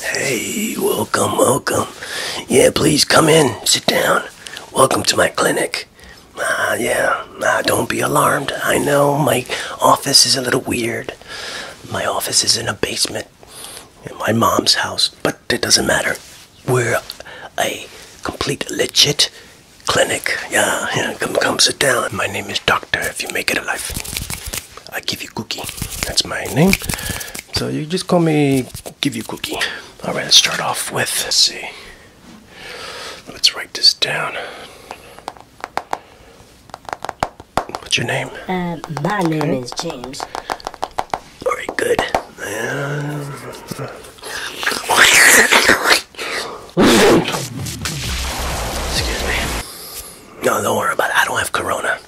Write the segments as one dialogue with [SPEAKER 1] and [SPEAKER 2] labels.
[SPEAKER 1] Hey, welcome, welcome. Yeah, please come in, sit down. Welcome to my clinic. Ah, yeah, uh, don't be alarmed. I know my office is a little weird. My office is in a basement in my mom's house, but it doesn't matter we're a complete legit clinic. Yeah, yeah, come, come sit down. My name is Doctor, if you make it alive. I give you cookie. That's my name. So you just call me give you cookie. Alright, let's start off with let's see. Let's write this down. What's your name? Uh, my name is James. Alright, good. Excuse me. No, don't worry about it. I don't have corona.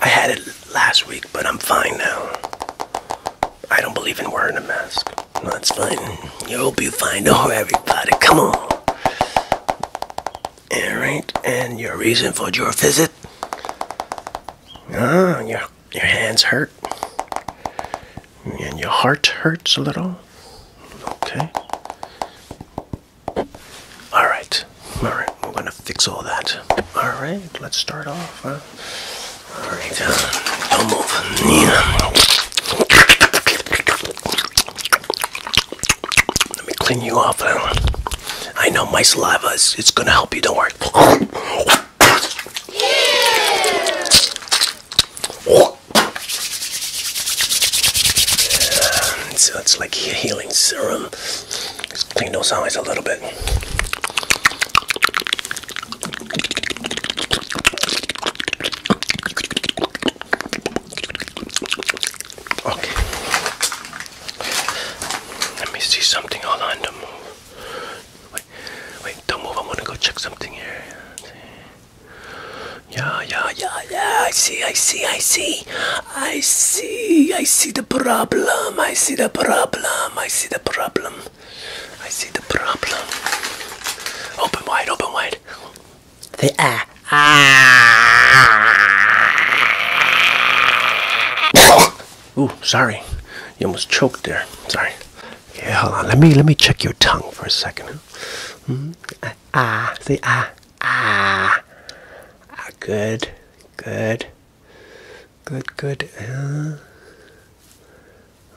[SPEAKER 1] I had it last week, but I'm fine now. I don't believe in wearing a mask. No, it's fine. I hope you fine. Oh, everybody, come on. Alright, and your reason for your visit? Ah, yeah your hands hurt and your heart hurts a little. Okay. All right. All right. We're going to fix all that. All right. Let's start off. All right. Uh, don't move. Yeah. Let me clean you off. Uh. I know my saliva is it's going to help you. Don't worry. So it's like healing serum. Just clean those eyes a little bit. Okay. Let me see something. Hold on to move. Wait, wait, don't move. I am going to go check something here. Yeah, yeah, yeah, yeah. I see, I see, I see. I see, I see the problem. I see the problem. I see the problem. I see the problem. Open wide, open wide. They uh, ah. Ooh, sorry. You almost choked there. Sorry. Okay, hold on. Let me let me check your tongue for a second. Hmm? Ah, ah say ah, ah, ah, Good, good, good, good.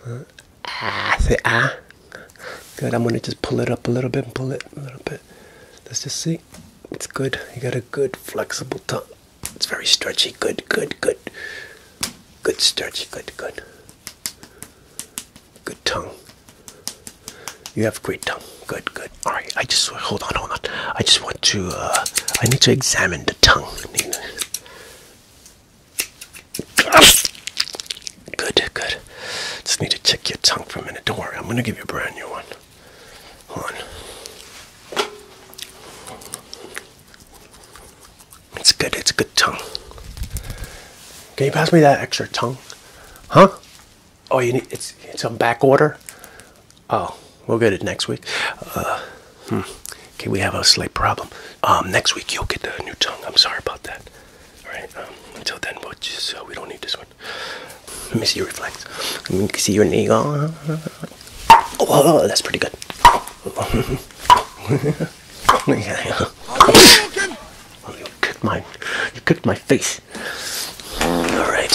[SPEAKER 1] Uh. ah, say ah. Good. I'm gonna just pull it up a little bit and pull it a little bit. Let's just see. It's good. You got a good flexible tongue. It's very stretchy. Good, good, good. Good stretchy. Good, good. Good tongue. You have great tongue. Good, good. All right. I just hold on, hold on. I just want to. Uh, I need to examine the tongue. Good, good. Just need to check your tongue for a minute. Don't worry. I'm gonna give you a brand new one. Hold on. It's good. It's a good tongue. Can you pass me that extra tongue? Huh? Oh, you need it's it's on back order. Oh, we'll get it next week. Uh, hmm. Okay, we have a slight problem. Um, next week you'll get a new tongue. I'm sorry about that. All right. Um, until then, we just uh, we don't need this one. Let me see your reflex. Let me see your nail. Whoa, oh, oh, that's pretty good. yeah. oh, you kicked my, you kicked my face. All right.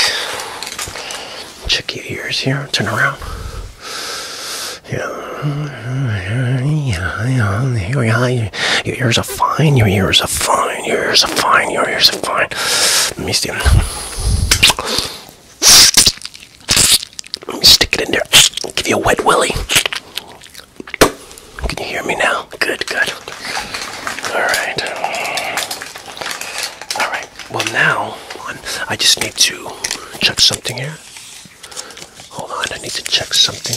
[SPEAKER 1] Check your ears here. Turn around. Yeah, yeah, yeah. Here we are. Your ears are fine. Your ears are fine. Your ears are fine. Your ears are fine. Let me see. Let me stick it in there. I'll give you a wet willy. Can you hear me now? Good, good. Alright. Alright. Well, now, I just need to check something here. Hold on, I need to check something.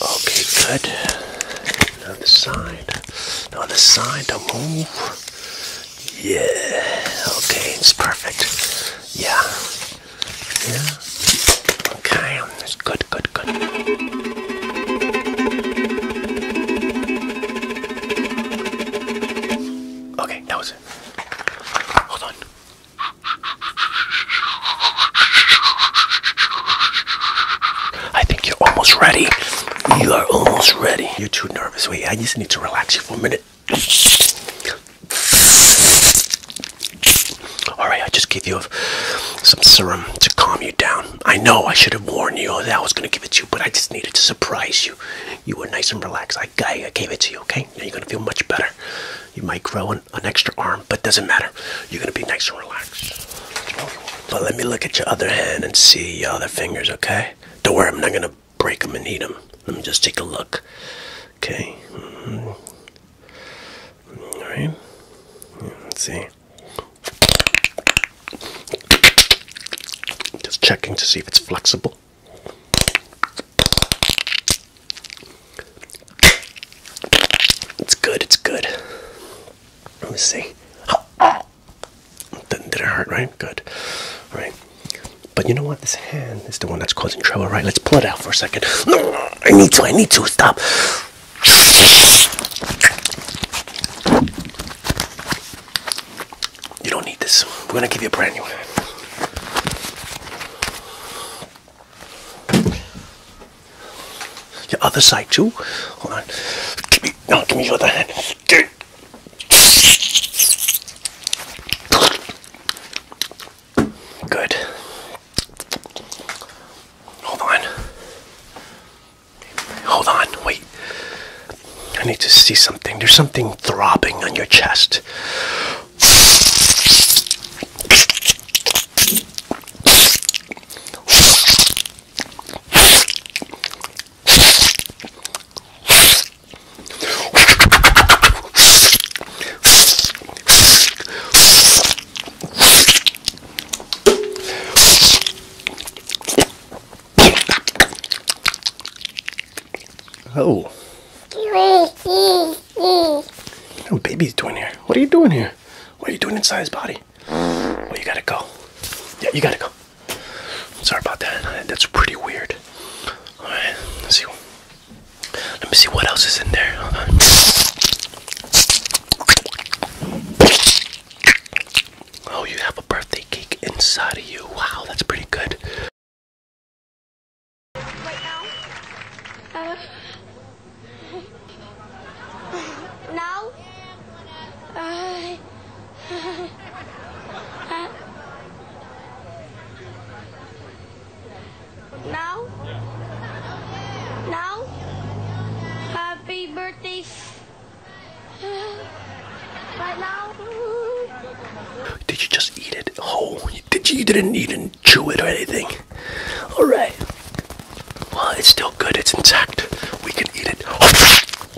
[SPEAKER 1] Okay, good. On the side. On the side, don't move. Yeah. Okay, it's perfect. Yeah. Yeah. Okay, that's good, good, good. Okay, that was it. Hold on. I think you're almost ready. You are almost ready. You're too nervous. Wait, I just need to relax you for a minute. Alright, I just gave you some serum to calm you down. I know I should have warned you that I was going to give it to you, but I just needed to surprise you. You were nice and relaxed. I, I, I gave it to you, okay? Now you're going to feel much better. You might grow an, an extra arm, but doesn't matter. You're going to be nice and relaxed. But let me look at your other hand and see your other fingers, okay? Don't worry, I'm not going to break them and eat them. Let me just take a look. Okay. Mm-hmm. All right. Let's see. Just checking to see if it's flexible. It's good, it's good. Let me see. Did, did it hurt, right? Good. right? But you know what? This hand is the one that's causing trouble, right? Let's pull it out for a second. I need to. I need to. Stop. You don't need this. We're going to give you a brand new hand. Your other side, too. Hold on. Give me, no, give me your other hand. Good. Hold on. Hold on, wait. I need to see something. There's something throbbing on your chest. Oh. No oh, baby's doing here. What are you doing here? What are you doing inside his body? Well, you gotta go. Yeah, you gotta go. Sorry about that. That's pretty weird. All right, let's see. Let me see what else is in there. Oh, you have a birthday cake inside of you. Wow, that's pretty good. Right now? now? Uh, uh now? Now? Happy birthday. right now? Did you just eat it whole? Oh, did you, you didn't even chew it or anything? Alright. Well, it's still good. It's intact. We can eat it.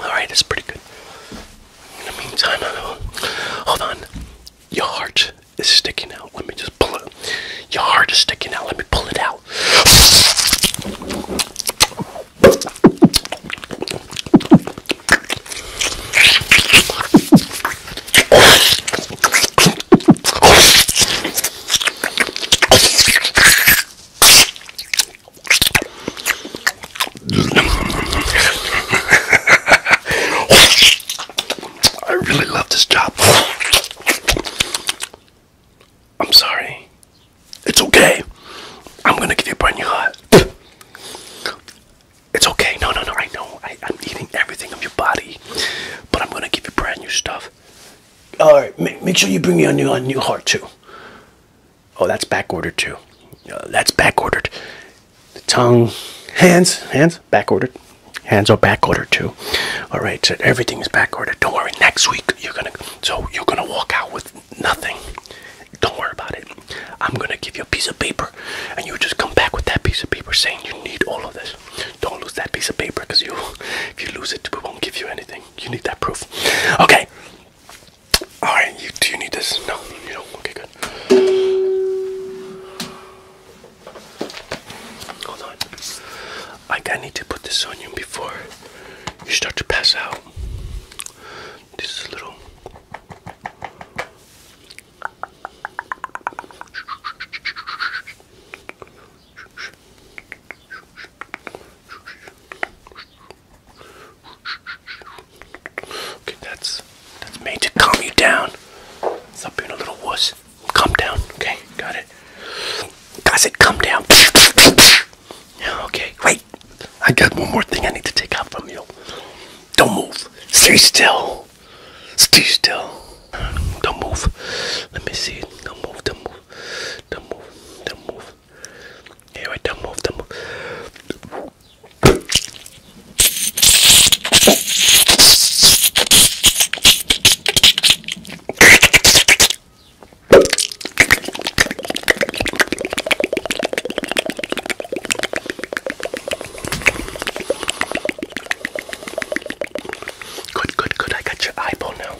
[SPEAKER 1] Alright, that's pretty good. In the meantime, I'll, uh, hold on. Your heart is sticking out. Let me just pull it. Your heart is sticking out. Let me pull it out. I really love this job. I'm sorry. It's okay. I'm gonna give you a brand new heart. It's okay. No, no, no. I know. I, am eating everything of your body, but I'm gonna give you brand new stuff. All right. Make, sure you bring me a new, a new heart too. Oh, that's back ordered too. Uh, that's back ordered. The tongue, hands, hands, back ordered. Hands are back ordered too. All right. So everything is back ordered. Don't worry. Next week you're gonna. So you're gonna walk out with nothing. Don't worry about it. I'm gonna give you a piece of paper, and you just come back with that piece of paper saying you need all of this. Don't lose that piece of paper, cause you, if you lose it, we won't give you anything. You need that proof. Okay. All right. You do you need this? No, you don't. Okay, good. Hold on. I I need to put this on you before you start to pass out. This is a little. Okay, that's that's made to calm you down. Stop being a little wuss. Calm down, okay? Got it. I said, calm down. Okay, wait. I got one more thing I need to take out from you. Don't move. Stay still. Stay still. Don't move. Let me see. Don't move. Don't move. Don't move. Don't move. Yeah, Don't move. Don't move. Good, good, good. I got your eyeball now.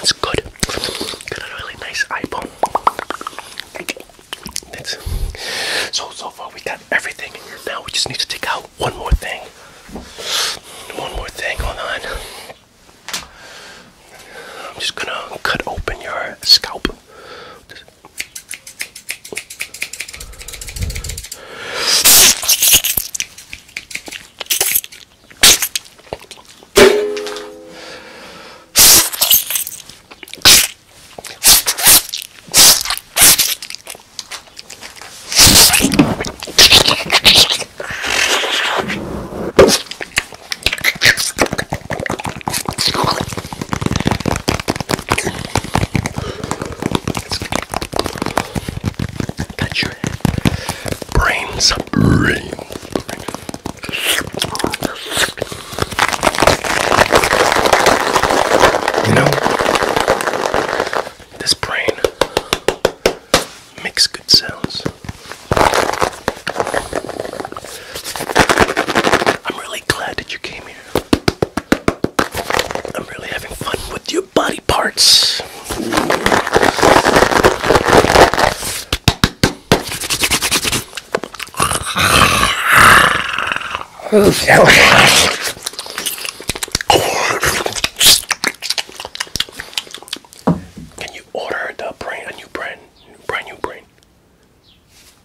[SPEAKER 1] It's good. Got a really nice eyeball so so far we got everything. Now we just need to take out one more thing. One more thing. Hold on. I'm just gonna cut open your scalp. Got your brains, brains, brains. You know, this brain makes good sounds. I'm really glad that you came here. I'm really having fun with your body parts. Can you order the brand a new brand, brand new brand?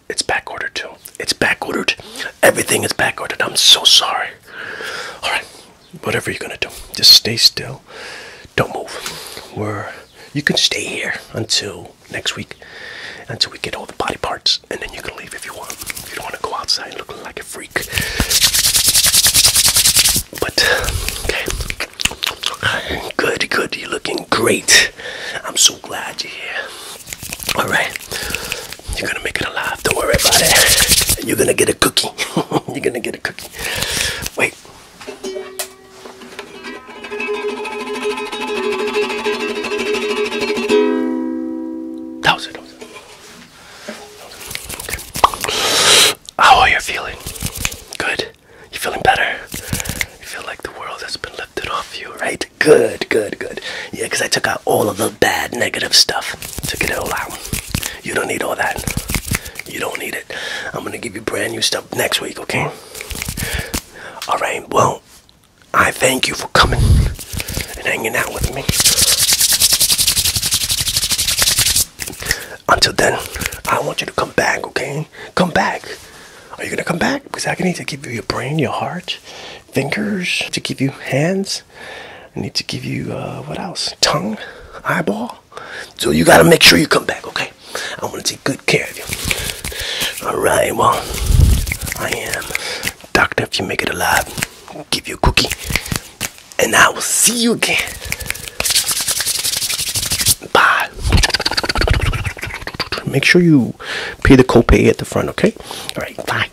[SPEAKER 1] It's back ordered too. It's back ordered. Everything is back ordered. I'm so sorry. All right, whatever you're gonna do, just stay still. Don't move. We're you can stay here until next week, until we get all the body parts and then you can leave if you want. You don't want to go outside looking like a freak. But okay, good, good. You're looking great. I'm so glad you're here. All right, you're gonna make it alive. Don't worry about it. You're gonna get a cookie. you're gonna get a cookie. Wait. That was it. How are you feeling? Good. You feeling better? You feel like the world has been lifted off you, right? Good, good, good. Yeah, because I took out all of the bad, negative stuff. Took it all out. You don't need all that. You don't need it. I'm going to give you brand new stuff next week, okay? All right, well, I thank you for coming and hanging out with me. Until then, I want you to come back, okay? Come back. Are you gonna come back? Because I need to give you your brain, your heart, fingers, to give you hands. I need to give you uh, what else? Tongue, eyeball. So you gotta make sure you come back, okay? I want to good care of you. Alright, well, I am Doctor. If you make it alive, I'll give you a cookie. And I will see you again. Bye. Make sure you pay the copay at the front, okay? Alright, bye.